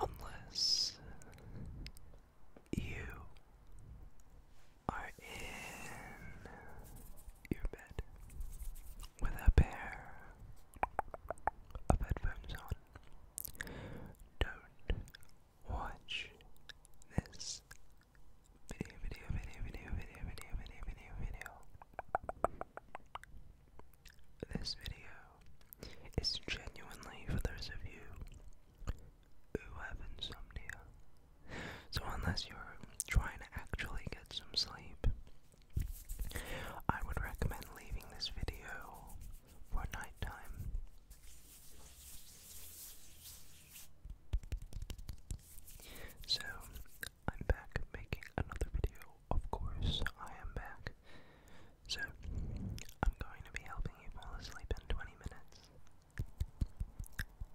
Unless you are in your bed with a pair of headphones on, don't watch this video. This video is genuinely for those of you who have insomnia. So, unless you're trying to actually get some sleep, I would recommend leaving this video for nighttime. So, I'm back making another video. Of course, I am back. So, I'm going to be helping you fall asleep in 20 minutes.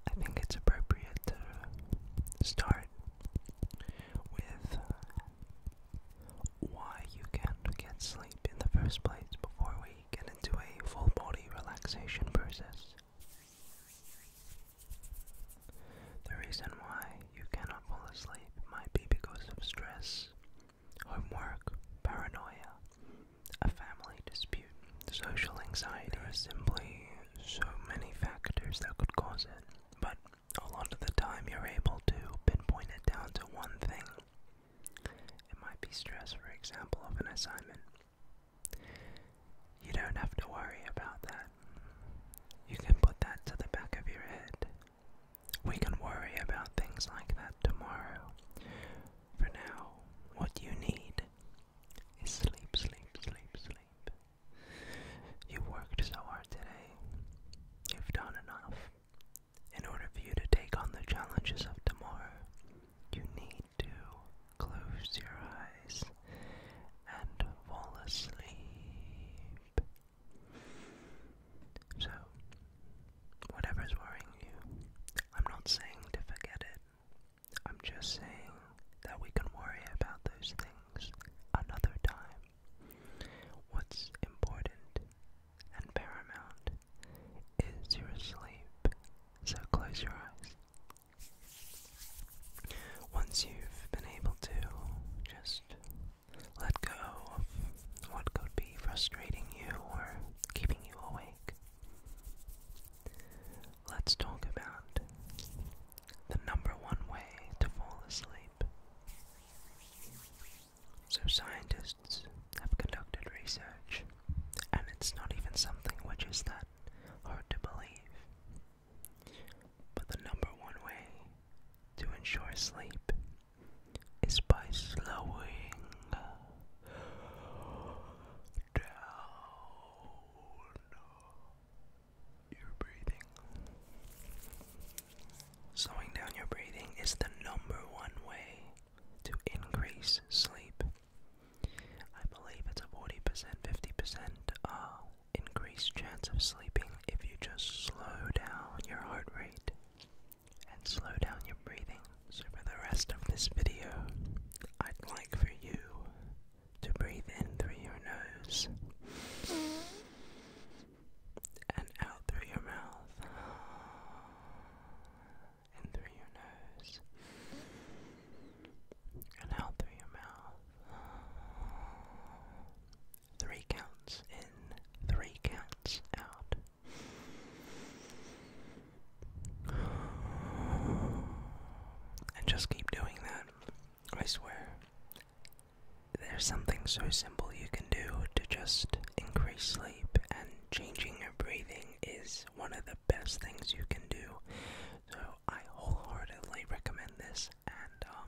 I think it's appropriate to start with why you can't get sleep in the first place before we get into a full body relaxation process. The reason why you cannot not fall asleep might be because of stress, homework, paranoia, a family dispute, social anxiety. There are simply so many factors that could cause it, but a lot of the time you're able to pinpoint it down to one thing. It might be stress, for example, of an assignment. You don't have to worry about that. You can put that to the back of your head we can worry about things like that tomorrow. For now, what you need is sleep, sleep, sleep, sleep. You worked so hard today. You've done enough. In order for you to take on the challenges of tomorrow, you need to close your eyes and fall asleep. So, whatever's worrying you, I'm not saying to forget it. I'm just saying that we can worry about those things another time. What's important and paramount is your sleep, so close your eyes. Once you've been able to just let go of what could be frustrating you or keeping you awake. Let's talk about the number one way to fall asleep. So, scientists have conducted research, and it's not even something which is that hard to believe. But the number one way to ensure sleep is by slowing down your breathing. Slowing down your breathing is the number one way to increase sleep. I believe it's a 40%, 50% increased chance of sleeping if you just slow down your heart rate and slow down your breathing. So, for the rest of this video, I'd like for you to breathe in through your nose and out through your mouth. In through your nose and out through your mouth. Three counts in, three counts out. And just keep doing that. I swear. There's something so simple you can do to just increase sleep, and changing your breathing is one of the best things you can do. So I wholeheartedly recommend this, and um,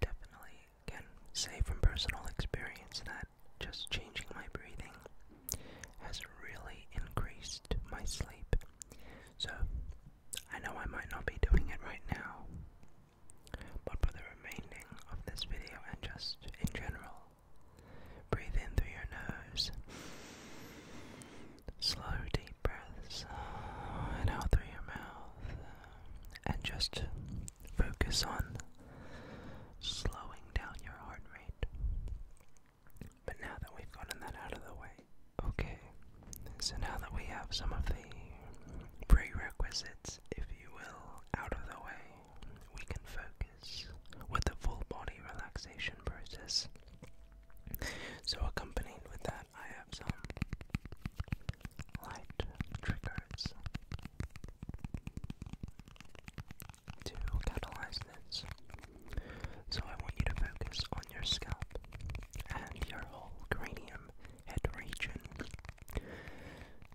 definitely can say from personal experience that just changing my breathing has really increased my sleep. So, I know I might not be doing it right now, but for the remaining of this video and just in general, breathe in through your nose, slow deep breaths, and out through your mouth and just focus on slowing down your heart rate. But now that we've gotten that out of the way, okay, so now that we have some of the prerequisites, if you will, out of the way, we can focus with the full body relaxation process. So, accompanied with that, I have some light triggers to catalyze this. So I want you to focus on your scalp and your whole cranium head region.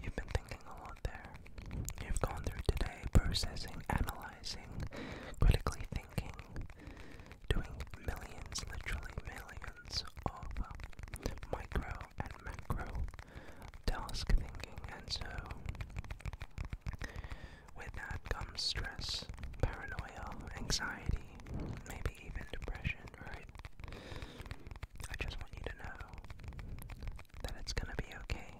You've been thinking a lot there. You've gone through today processing, analyzing, critically thinking, doing millions, literally millions of micro and macro task thinking, and so with that comes stress, paranoia, anxiety, maybe even depression, right? I just want you to know that it's gonna be okay.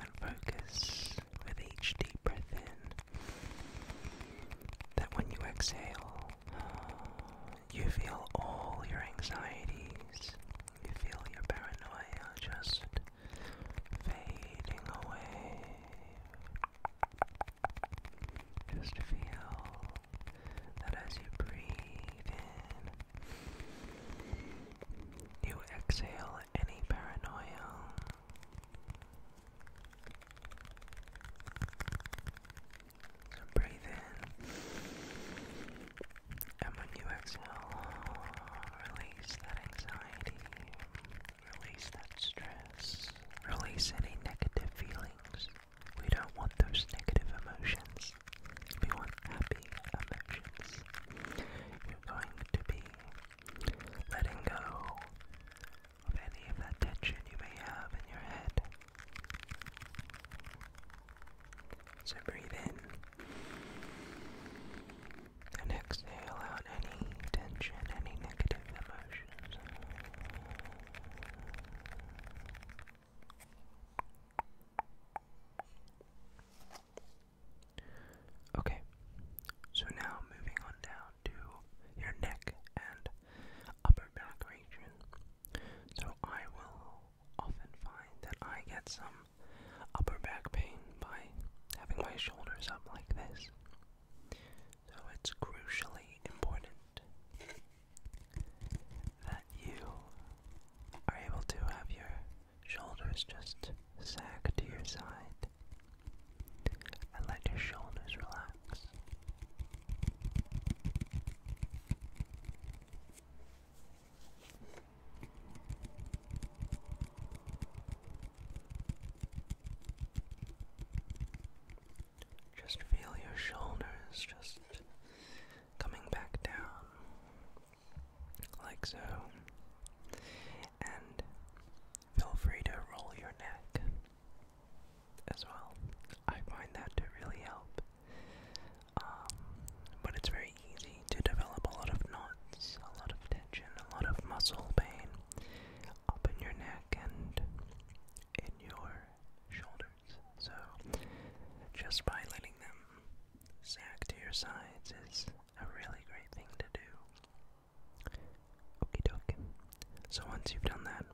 And focus with each deep breath in that when you exhale, you feel all your anxieties, you feel your paranoia just fading away. Just feel that as you breathe in, you exhale any paranoia. So breathe in. And when you exhale, release that anxiety, release that stress, release any negative feelings. We don't want those negative emotions. We want happy emotions. You're going to be letting go of any of that tension you may have in your head. So breathe in and exhale out any tension, any negative emotions. Okay, so now moving on down to your neck and upper back region. So I will often find that I get some upper back pain by having my shoulders up like this. So it's crucially important that you are able to have your shoulders just sag to your side and let your shoulders relax. Just feel your shoulders just coming back down, like so. And feel free to roll your neck as well. I find that to really help. Um, but it's very easy to develop a lot of knots, a lot of tension, a lot of muscle pain up in your neck and in your shoulders. So, just by letting them sag to your sides is a really great thing to do. Okie dokie. So, once you've done that,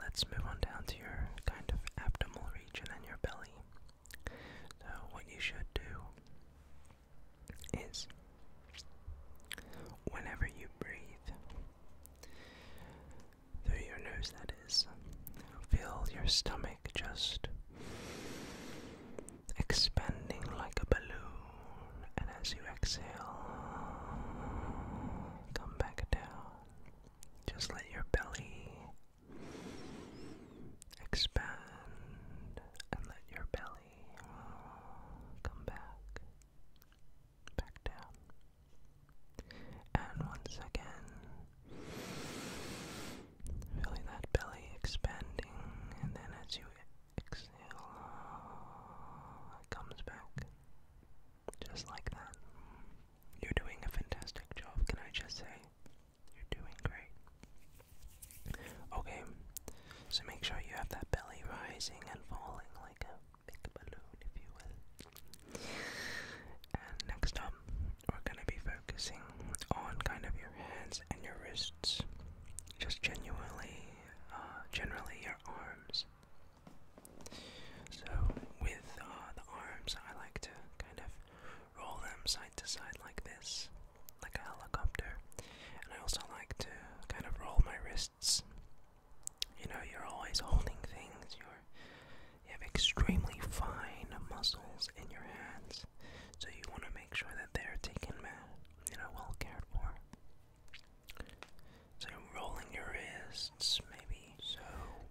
Let's move on down to your kind of abdominal region and your belly. So, what you should do is whenever you breathe through your nose, that is, feel your stomach just expanding like a balloon, and as you exhale, come back down. Just let your belly expand and let your belly come back, back down. And once again, feeling that belly expanding, and then as you exhale, it comes back. Just like that. You're doing a fantastic job, can I just say? You're doing great. Okay, so make sure you have that belly rising and falling like a big balloon, if you will. And next up, we're gonna be focusing on kind of your hands and your wrists. Just genuinely, uh, generally your arms. So, with uh, the arms, I like to kind of roll them side to side like this, like a helicopter. And I also like to kind of roll my wrists. You know, you're always holding things, you're, you have extremely fine muscles in your hands, so you want to make sure that they're taken, uh, you know, well cared for. So, rolling your wrists, maybe so,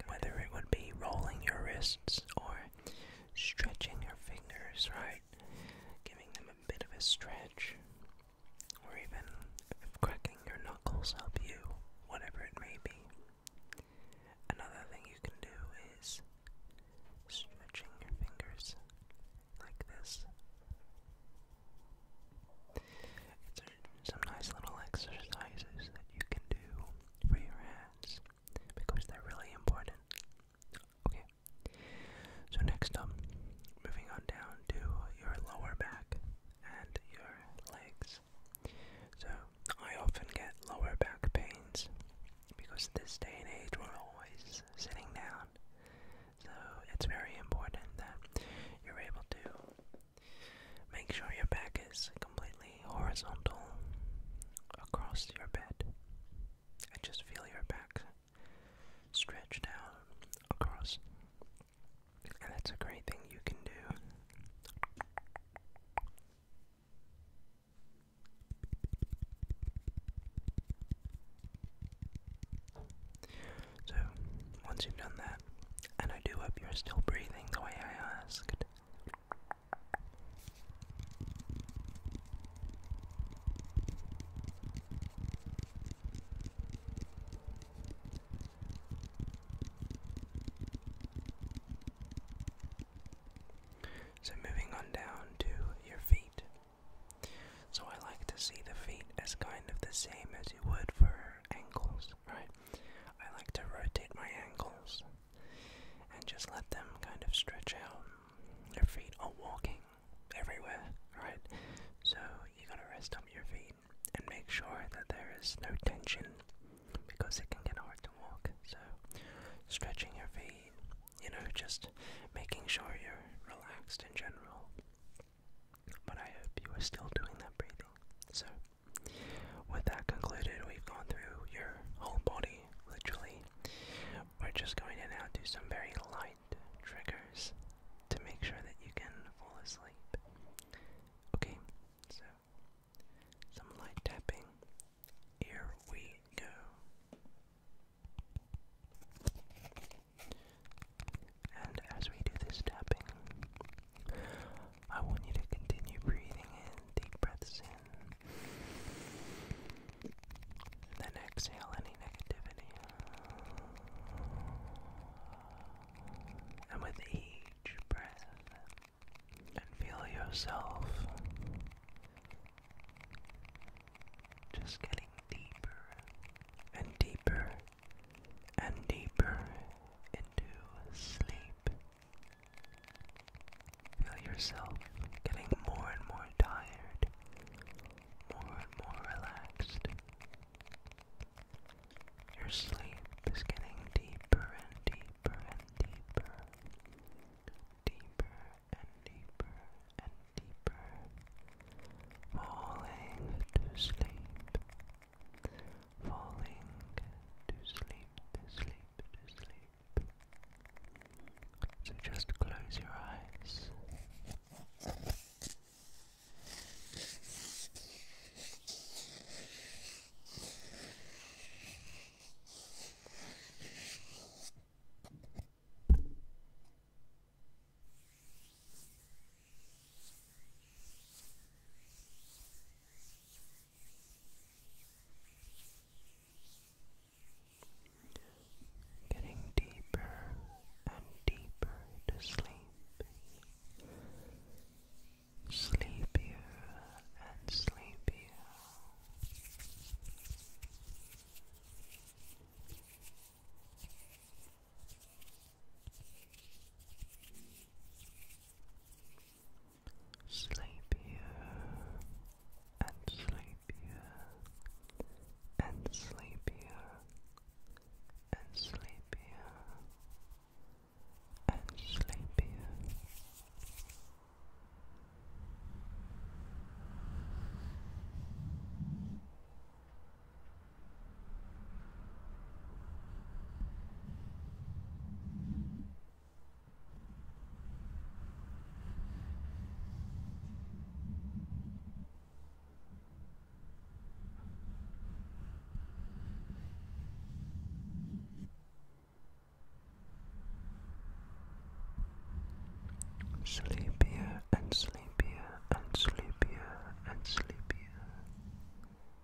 whether it would be rolling your wrists or stretching your fingers, right? Giving them a bit of a stretch, or even cracking your knuckles help you, whatever it may be. Another thing you can do is stretching your fingers like this some nice little exercises that you can do for your hands because they're really important. Okay. So next up, moving on down to your lower back and your legs. So I often get lower back pains because this day and age we're always sitting down. So it's very important that you're able to Make sure your back is completely horizontal across your bed. And just feel your back stretch out across. And that's a great thing you can do. So, once you've done that, and I do hope you're still breathing the way I asked, so, moving on down to your feet. So, I like to see the feet as kind of the same as you would for ankles, right? I like to rotate my ankles and just let them kind of stretch out. Your feet are walking everywhere, right? So you gotta rest up your feet and make sure that there is no tension because it can get hard to walk. So stretching your feet, you know, just making sure you're relaxed in general. But I hope you are still doing that breathing. So with that concluded, we've gone through your whole body, literally. We're just going to now do some very light triggers to make sure that you can fall asleep. Okay, so some light tapping. Here we go. And as we do this tapping, I want you to continue breathing in, deep breaths in. And then exhale any negativity. And with each breath, and feel yourself just getting deeper and deeper and deeper into sleep. Feel yourself getting more and more tired, more and more relaxed. Your sleep is getting deeper and deeper and deeper, deeper and deeper and deeper, falling to sleep falling to sleep, to sleep, to sleep. So just close your eyes. Getting deeper and deeper to sleep, sleepier and sleepier sleepier and sleepier and sleepier and sleepier and sleepier. Sleepier Sleepier and sleepier and sleepier and sleepier.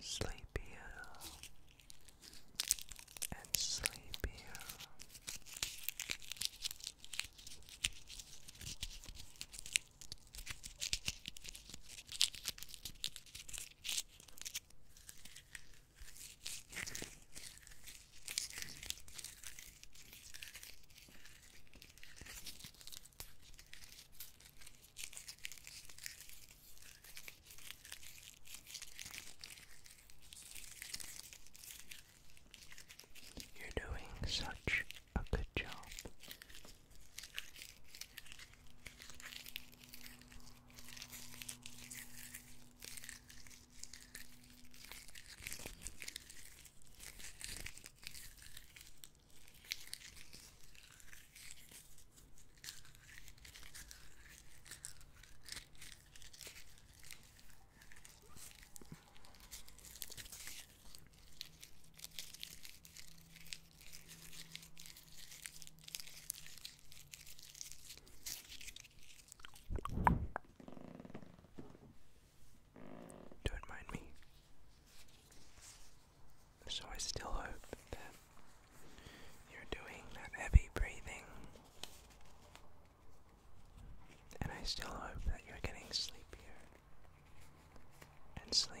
sleepier and sleepier. You're doing such a good job. Don't mind me. So I still hope that you're doing that heavy breathing. And I still hope that you're getting sleepier and sleepier.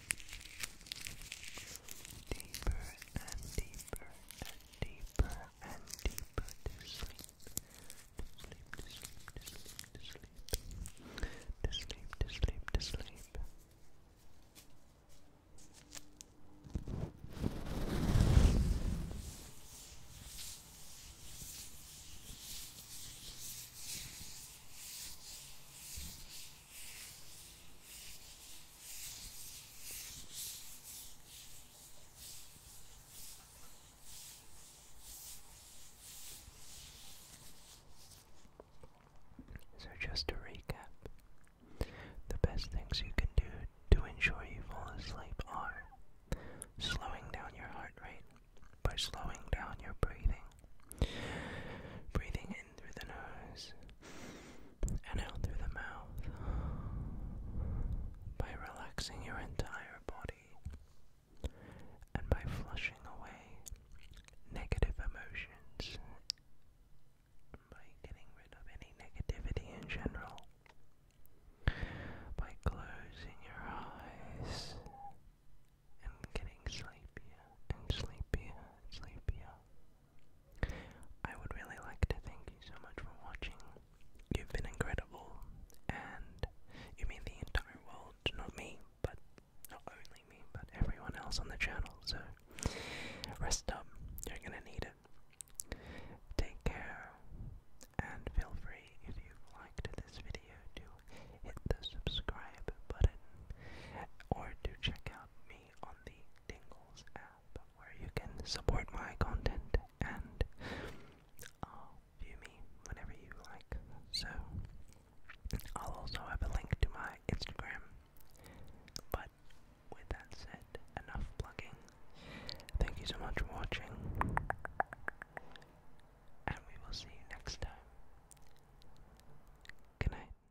Deeper and deeper and deeper and deeper to sleep. To sleep, to sleep, to sleep, to sleep. To sleep, to sleep, so, just to recap, the best things you can do to ensure you fall asleep are slowing down your heart rate by slowing down your breathing, breathing in through the nose and out through the mouth by relaxing your entire body and by flushing away negative emotions by getting rid of any negativity in general by closing your eyes and getting sleepier and sleepier and sleepier I would really like to thank you so much for watching. You've been incredible, and you mean the entire world, not me, but not only me, but everyone else on the channel. So, rest up, you're gonna need it. Take care, and feel free if you've liked this video to hit the subscribe button or to check out me on the Dingles app where you can support my content and uh, view me whenever you like. So, I'll also have a link to my Instagram. But with that said, enough plugging. Thank you so much for watching. And we will see you next time. Good night.